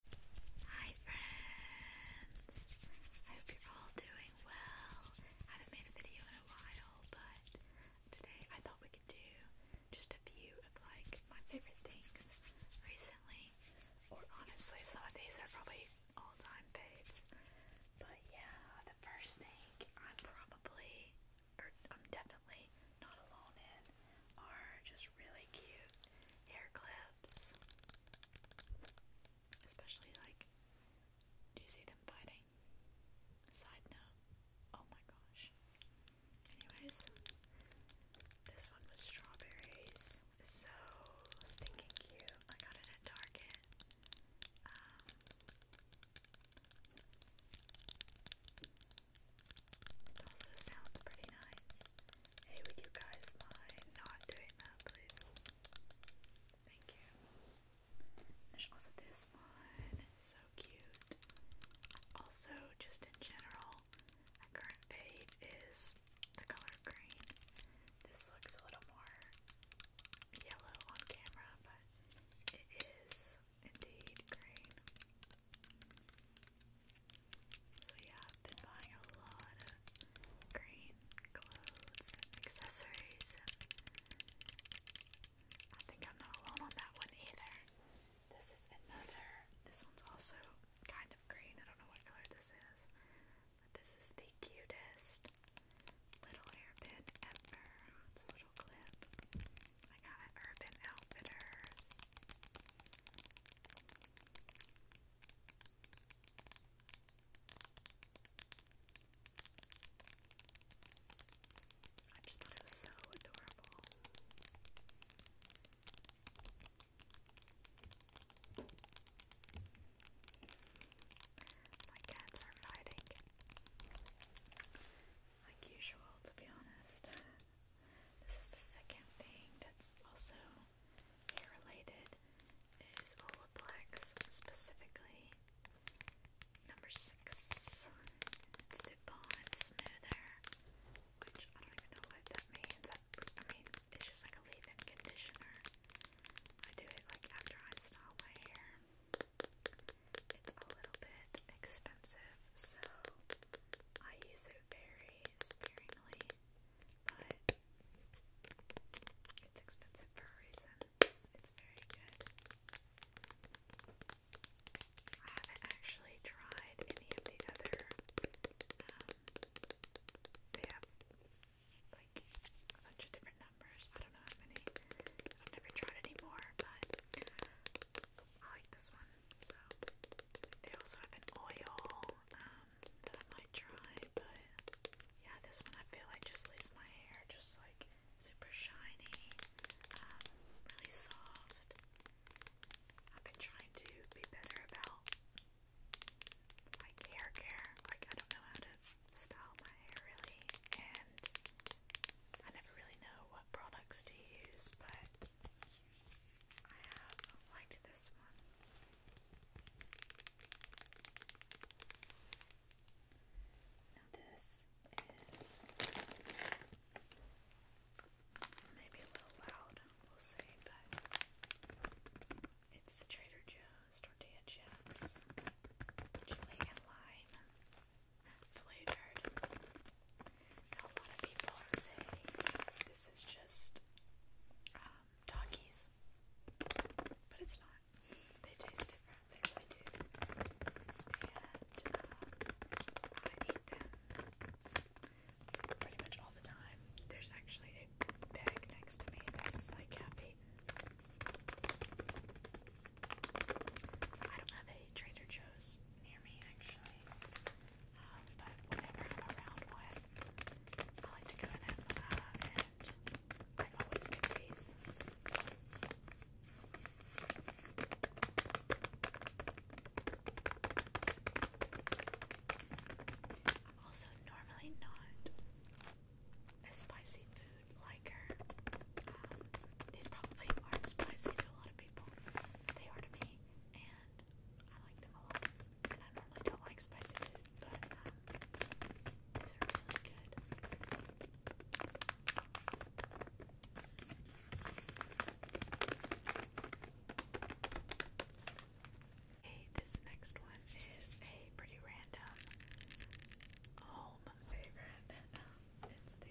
Hi friends! I hope you're all doing well. haven't made a video in a while, but today I thought we could do just a few of like my favorite things recently. Or honestly, some of these are probably all-time faves. But yeah, the first thing I'm probably or I'm definitely not alone in are just really cute hair clips. Especially like, do you see them fighting? Side note. Oh my gosh. Anyways, this one was strawberries. So stinking cute. I got it at Target. Um, also sounds pretty nice. Hey, you guys mind not doing that, please? Thank you. There's also this one. So cute. Also, just in general, my current fave is the color green. This looks a little more yellow on camera, but it is indeed green. So yeah, I've been buying a lot of green clothes and accessories I think I'm not alone on that one either. This is another this one's also kind of green. I don't know what color this is. But this is the cutest little hairpin ever. It's a little clip. I got it Urban Outfitters. I just thought it was so adorable. My cats are fighting, like usual, to be honest. This is the second thing that's also hair related is Olaplex, specifically number six. It's the bond which I don't even know what that means. I mean, it's just like a leave-in conditioner. I do it like after I style my hair. It's a little bit expensive, so I use it very sparingly, but it's expensive for a reason. It's very good. I haven't actually tried any of the other. Um, they have like a bunch of different numbers. I don't know how many. I've never tried any more, but I like this one. So they also have an oil um, that I might try, but yeah, this one I feel like just leaves my hair just like super shiny, um, really soft. I've been trying to be better about like hair care. Like I don't know how to style my hair really, and I never really know what products to use, but I have liked this one. Now this is maybe a little loud, we'll see, but it's the Trader Joe's tortilla chips, chili and lime flavored. a lot of people say this is just um, but it's not. They taste different. They really do. And um, I eat them pretty much all the time. There's actually a bag next to me that's like happy. I don't have any Trader Joe's near me actually, um, but whenever I'm around one, I like to go in and I always get also normally not a spicy food liker. Um, these probably aren't spicy to a lot of people. They are to me, and I like them a lot. And I normally don't like spicy but um, these are really good. Okay, this next one is a pretty random home favorite. it's the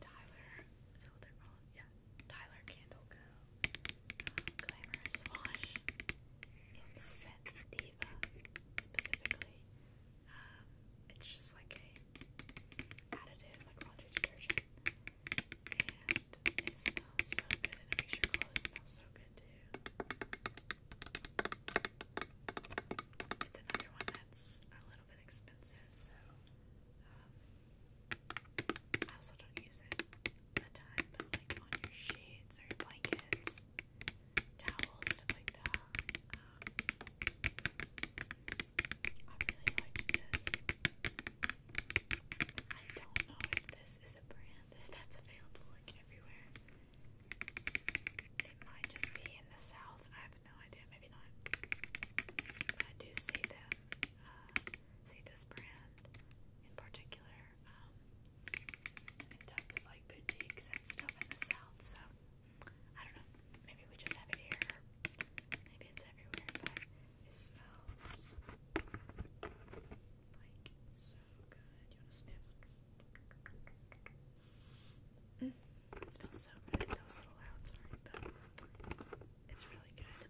Tyler, is that what they're called? Yeah. Tyler Candle Co. Um, Glamorous Wash. Inset Diva, specifically. Um, it's just like a additive, like laundry detergent. And it smells so good, and it makes your clothes smell so good too. It's another one that's a little bit expensive, so um, I also don't use it a ton, but like on your sheets or blankets, towels, stuff like that. Um, I really like this. I don't know if this is a brand that's available like everywhere. It might just be in the south. I have no idea. Maybe not. I do see them. Uh, see this brand in particular um, in tons of like boutiques and stuff in the south. So I don't know. Maybe we just have it here. Maybe it's everywhere. it smells like so good. You want to sniff? Mm, it smells so good. That little loud, sorry, but it's really good.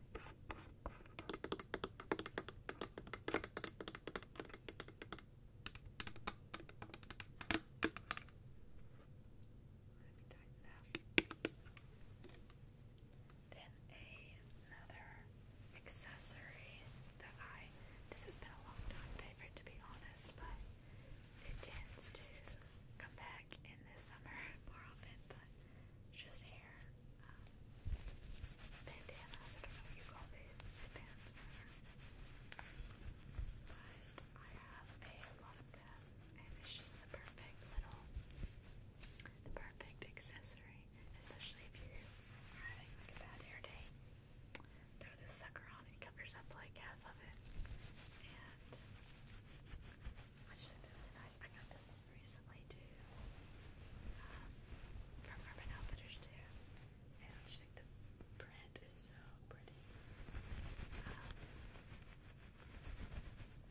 Let me another accessory that I this has been a long time favorite to be honest, but it tends to come back in the summer more often, but just hair um, bandanas. I do these, But I have a lot of them, and it's just the perfect little, the perfect accessory, especially if you are having like a bad hair day throw this sucker on and covers up like half of it. And I just think they're really nice. I got this recently too um, from Urban Outfitters too. And I just think the print is so pretty. Um,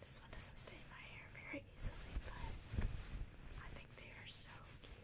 this one doesn't stain my hair very easily, but I think they are so cute.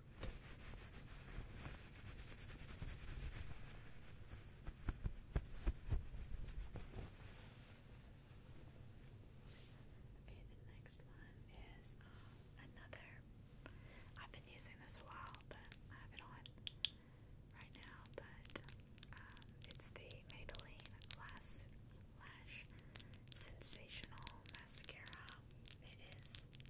Okay, the next one is um, another. I've been using this a while, but I have it on right now. But um, it's the Maybelline Lash Lash Sensational Mascara it is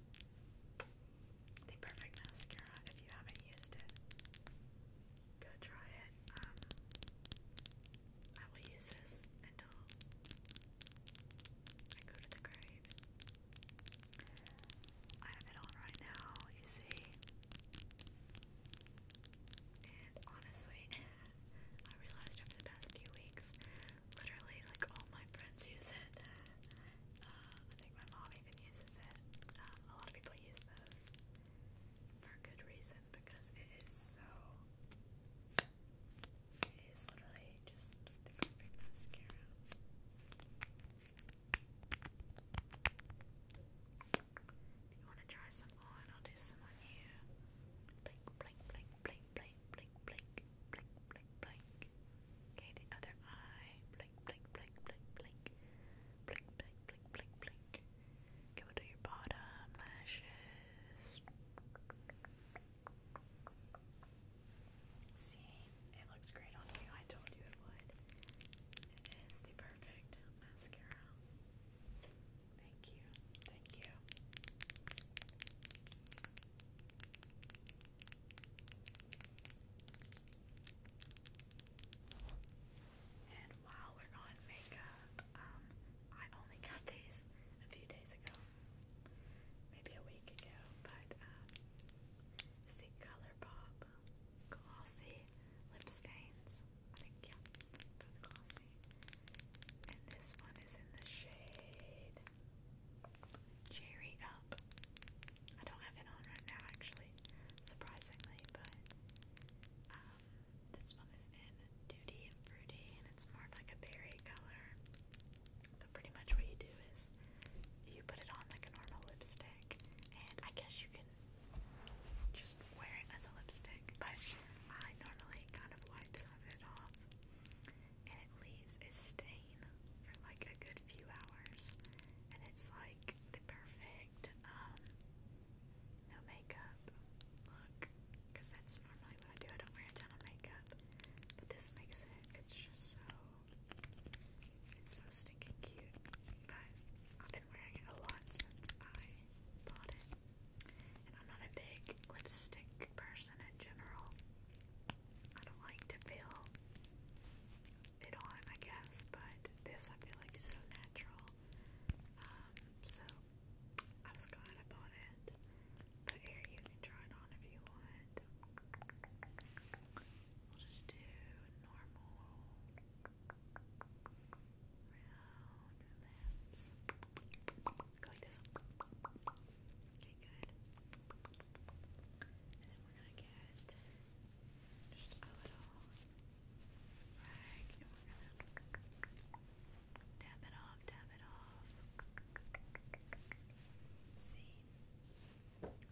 the perfect mascara if you haven't used it. Go try it. Um, I will use this until I go to the grave. I have it on right now, you see. And honestly, I realized over the past few weeks literally like all my friends use it. Uh, I think my mom even uses it. Um, a lot of people use those for good reason because it is so. It is literally just the perfect mascara. If you want to try some on, I'll do some on you. Blink, blink, blink, blink, blink blink, blink, blink, blink, blink, blink. the other eye, blink, blink, blink, blink, blink, blink, blink, blink, blink, blink. Okay, we'll your bottom lashes. See, it looks great on you. I told you it would. It is the perfect mascara. Thank you. Thank you. And while we're on makeup, um, I only got these a few days ago, maybe a week ago, but it's um, the ColourPop Glossy Lip Stains. I think, and this one is in the shade Cherry Up. I don't have it on right now, actually, surprisingly, but um, this one is in Duty and Fruity, and it's more like a berry color. But pretty much what you do is you put it on like a normal lipstick, and I guess you can just wear it as a lipstick, but I normally kind of wipe some of it off and it leaves a stain for like a good few hours, and it's like the perfect um, no makeup look because that's normally what I do. I don't wear a ton of makeup, but this makes it. It's just so it's so stinking cute. But I've been wearing it a lot since I bought it. And I'm not a big lipstick person in general. I don't like to feel it on, I guess, but this I feel like is so natural. Um, so I was glad I it. But here, you can try it on if you want. We'll just do normal round lips. Go like just a little rag and we're gonna dab it off, dab it off. See?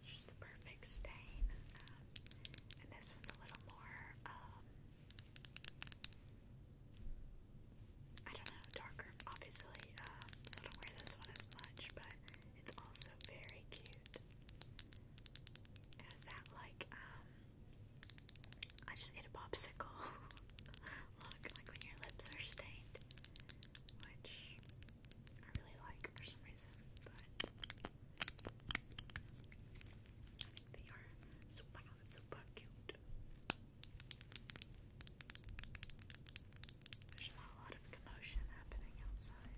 just the perfect stain. Um, and this one's a little more um, I don't know, darker. Obviously, uh, I don't wear this one as much, but it's also very cute. It that like um, I just ate a popsicle look, like when your lips are stained, which I really like for some reason, but. they are super, super cute. There's not a lot of commotion happening outside.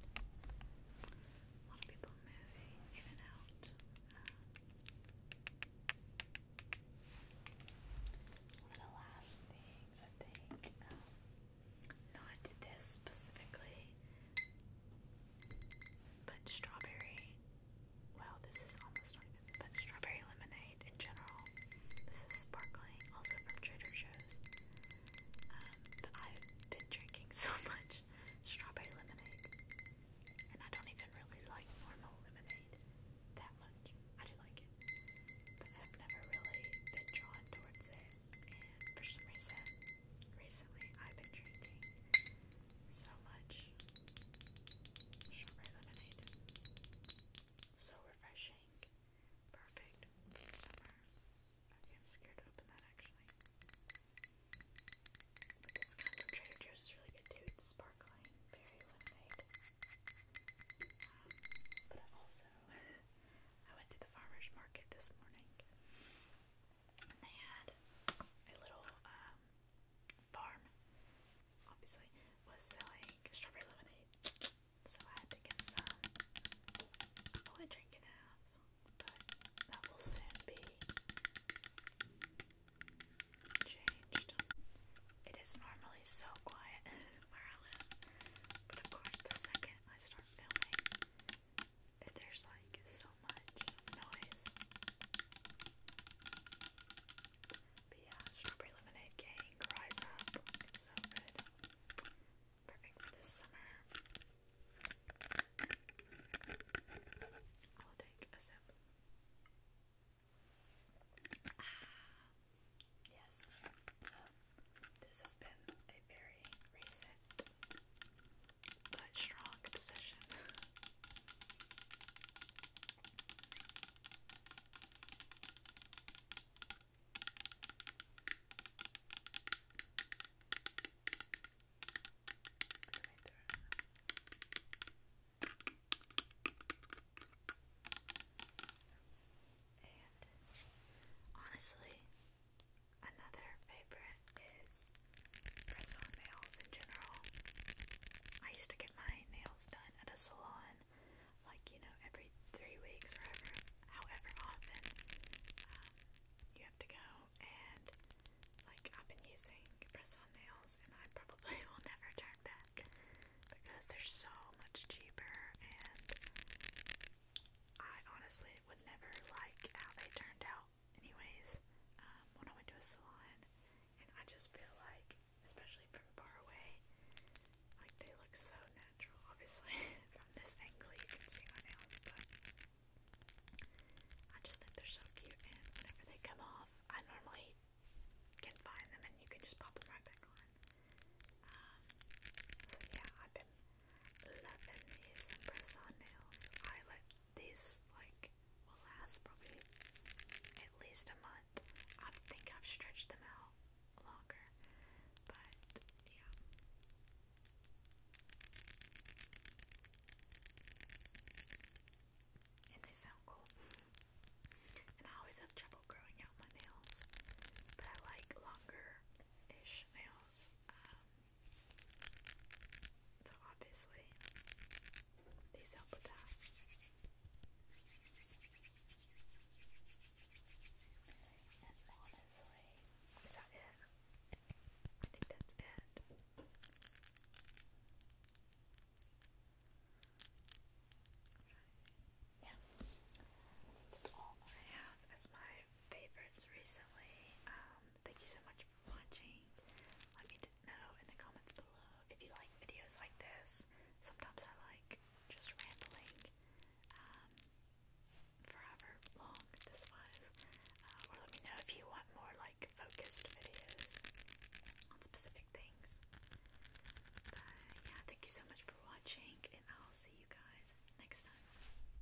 A lot of people moving in and out. Um, one of the last things I think, um, not this specifically, but strawberry Wow, this is almost not even, but strawberry lemonade in general. This is sparkling, also from Trader Joe's. Um, but I've been drinking so much strawberry lemonade, and I don't even really like normal lemonade that much. I do like it, but I've never really been drawn towards it, and for some reason, recently I've been drinking so much strawberry lemonade. So refreshing. Perfect summer. I'm scared to open that actually. this kind from Trader Joe's is really good too. It's sparkling, very lemonade. Um, but also, I went to the farmer's market this morning and they had a little um, farm, obviously, was selling strawberry lemonade. So I had to get some. only drinking half, but that will soon be changed. It is normally so quiet where I live, but of course, the second I start filming, there's like so much noise. But yeah, strawberry lemonade gang rise up. It's so good. Perfect for this summer. I'll take a sip. Ah, yes. So this has been a very recent but strong obsession. And honestly, Another favorite is press-on nails in general. I used to get my nails done at a salon, like you know, every three weeks or ever, however often um, you have to go. And like I've been using press-on nails, and I probably will never turn back because they're so much cheaper and. I honestly would never like how they turned out well, anyways, um, when I went to a salon, and I just feel like, especially from far away, like they look so natural. Obviously, from this angle you can see my nails, but I just think they're so cute. And whenever they come off, I normally can find them, and you can just pop them right back on. Um, so yeah, I've been loving these press-on nails. I let this like will last probably at least a month. I think I've stretched them out longer, but yeah. And they sound cool. And I always have trouble growing out my nails, but I like longer ish nails. Um, so obviously, these help with that. And honestly, is that it? I think that's it. Yeah. That's all I have as my favorites recently. Um, thank you so much for watching. Let me know in the comments below if you like videos like this. Sometimes I like just rambling um, forever long, this was. Uh, or let me know if you want more like focused videos on specific things. But yeah, thank you so much for watching, and I'll see you guys next time.